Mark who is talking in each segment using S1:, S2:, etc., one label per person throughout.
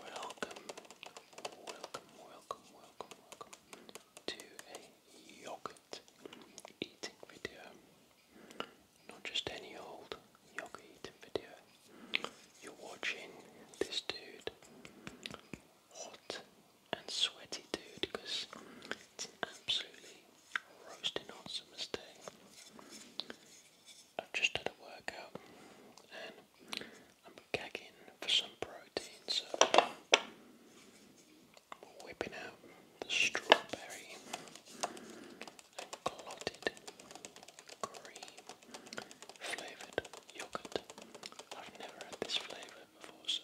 S1: Welcome, welcome, welcome, welcome, welcome to a yogurt eating video. Not just any old yogurt eating video. You're watching this dude, hot and sweaty dude, because it's absolutely roasting hot summer's day. I've just done a workout and I'm gagging for some protein, so we're whipping out the strawberry and clotted cream flavoured yogurt. I've never had this flavour before, so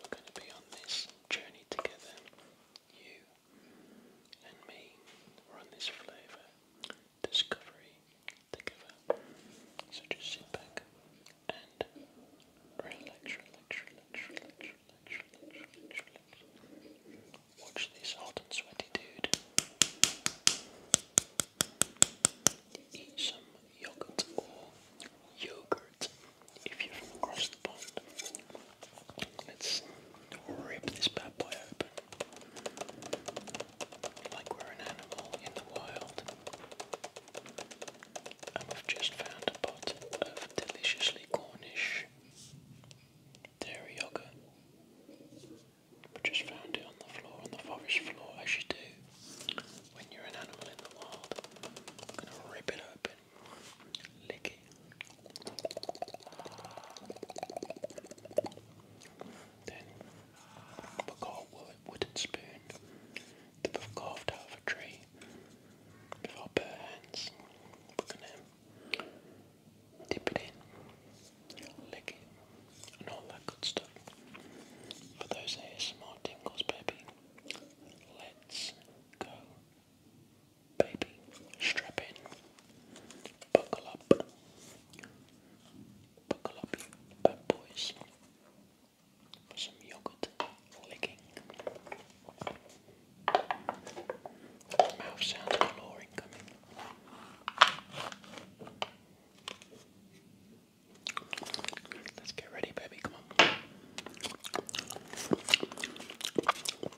S1: we're going to be on this journey together, you and me run this flavour discovery together. So just sit back and relax, relax, relax, relax, relax, relax, relax, relax. Watch this hot and sweaty dude. Eat some yogurt or yogurt if you're from across Let's rip this bad boy open. Like we're an animal in the wild. And we've just found a pot of deliciously Cornish dairy yogurt. We just found it on the floor, on the forest floor, as you do when you're an animal in the wild. I'm gonna rip it open. Licking. Then forgot wood wooden spoon that carved out of a tree with our bare hands. We're gonna dip it in, lick it, and all that good stuff. For those ASMR tingles, baby, let's go. Baby, strap in, buckle up, buckle up, bad boys, for some yogurt licking. Mouth sound galore incoming. Let's get ready, baby. Come on. You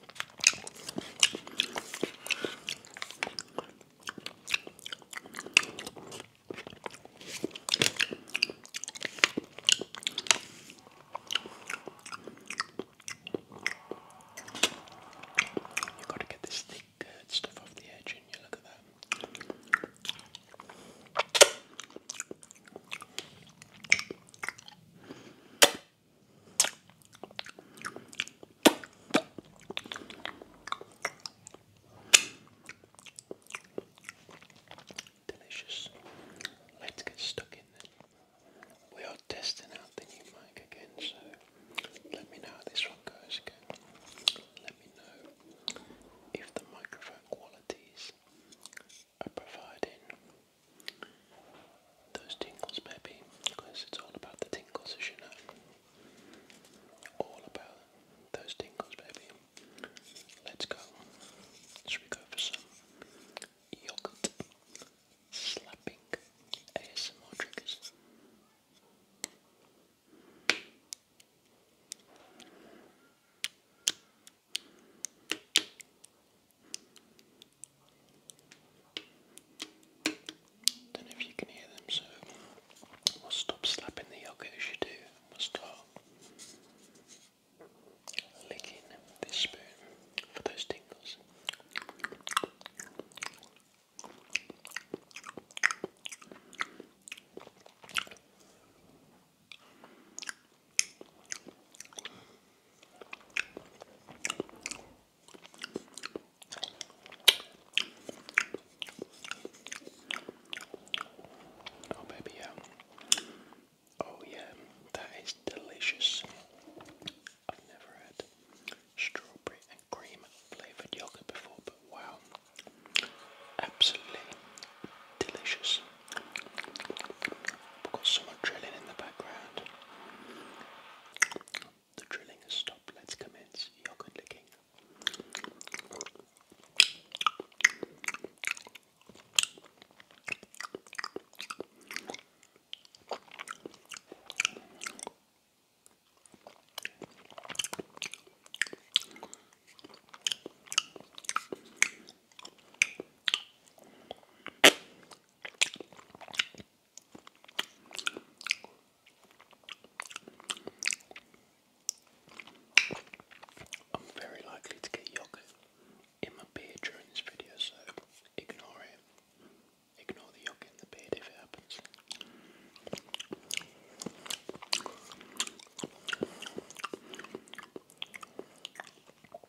S1: gotta get this thick uh, stuff off the edge, and you look at that. Delicious. Let's get stuck in then. We are testing out the new mic again, so let me know how this one goes Let me know if the microphone quality is providing those tingles, baby, because it's all about the tingles, as you know. All about those tingles, baby. Let's go. Should we go for some yogurt slapping ASMR triggers? Don't know if you can hear them, so we'll stop slapping the yogurt as you do. We'll start licking this spoon for those tingles. Oh, baby, yeah. Oh, yeah, that is delicious. I've never had strawberry and cream flavored yogurt before, but wow, absolutely delicious. I've got someone drilling in the background. The drilling has stopped. Let's commence yogurt licking. I'm very likely to get yogurt in my beard during this video, so ignore it. Ignore the yogurt in the beard if it happens.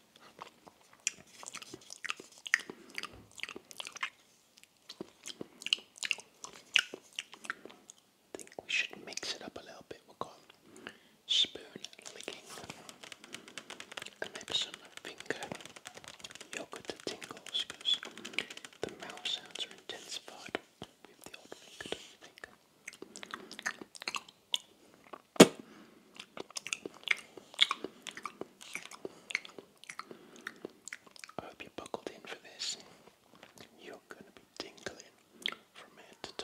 S1: I think we should mix it up a little bit. We'll go spoon licking and maybe finger yogurt tingles because the mouth sounds are intensified with the old finger, do I hope you buckled in for this. You're going to be tingling from head to toe.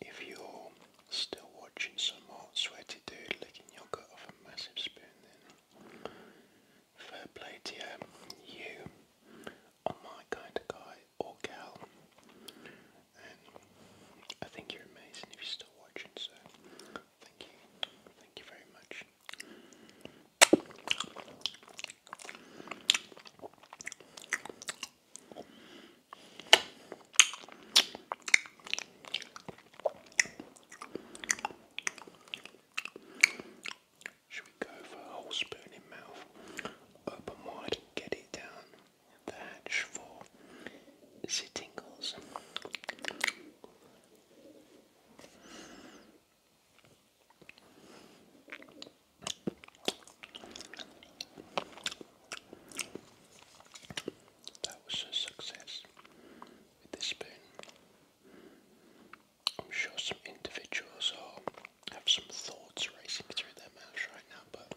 S1: If you're still watching somewhat sweaty dude licking yogurt off a massive spoon then fair play to you, you are my kind of guy or gal and I think you're amazing if you're still watching so thank you, thank you very much. Should we go for a whole spoon in mouth? Open wide, get it down the hatch for zittingles. tingles. That was a success with this spoon. I'm sure some individuals are, have some thoughts racing through their mouths right now, but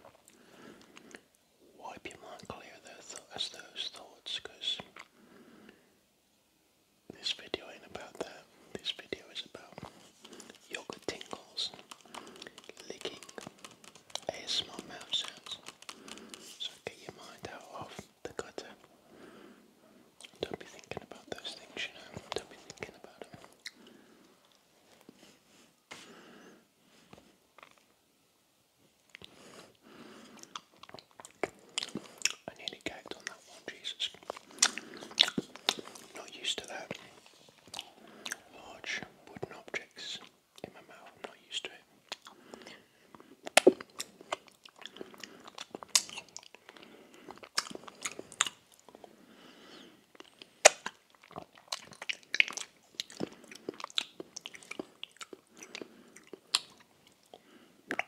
S1: wipe your mind clear of those thoughts because this video ain't about that. This video is about yoga tingles, licking, ASMR mouth sounds. So get your mind out of the gutter. Don't be thinking about those things, you know. Don't be thinking about them. I nearly gagged on that one, Jesus. Not used to that. Large wooden objects in my mouth, not used to it.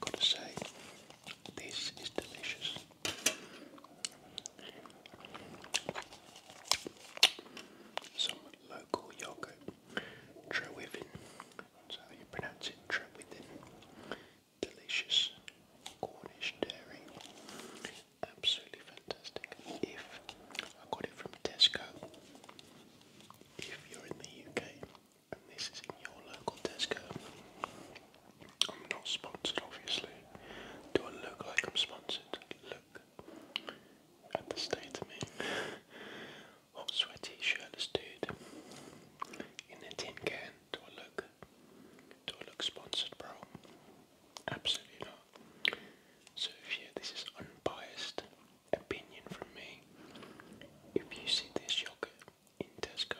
S1: Gotta say, this is delicious. Some local yogurt, Trewithin, that's how you pronounce it, Trewithin. Delicious Cornish dairy, absolutely fantastic. If I got it from Tesco, if you're in the UK this is in your local Tesco. I'm not sponsored, obviously. Do I look like I'm sponsored? Look at the state of me. Hot, sweaty, shirtless dude in a tin can. Do I look? Do I look sponsored, bro? Absolutely not. So if you, this is unbiased opinion from me. If you see this yogurt in Tesco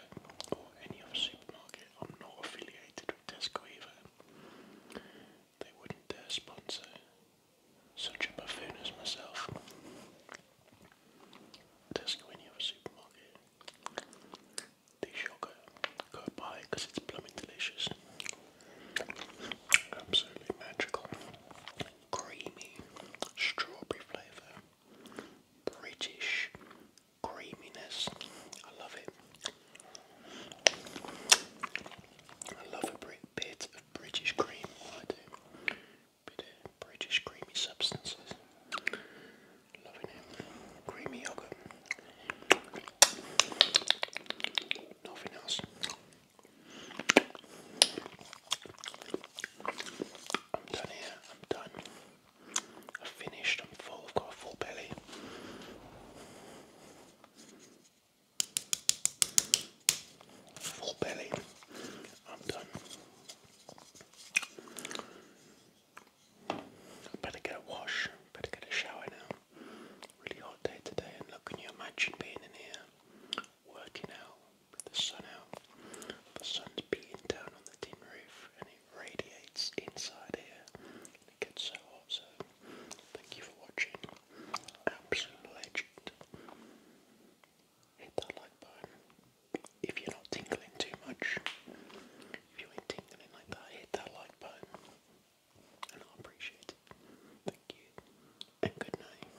S1: or any other supermarket, I'm not affiliated with Tesco either. They wouldn't dare sponsor such a buffoon as myself. Tesco, any other supermarket. This yogurt, go buy because it's blooming delicious. Absolutely magical creamy strawberry flavour. British creaminess. I love it. I love a bit of British cream. I do. Bit of British creamy substances. Loving it. Creamy yogurt. Nothing else. I'm done here, I'm done. I've finished, I'm full, I've got a full belly. Full belly. I'm done. I better get a wash, better get a shower now. Really hot day today and look, can you imagine being in here working out with the sun out. The sun's beating down on the tin roof and it radiates inside here. It gets so hot, so thank you for watching. Absolute legend. Hit that like button if you're not tingling too much. If you ain't tingling like that, hit that like button and i appreciate it. Thank you and good night.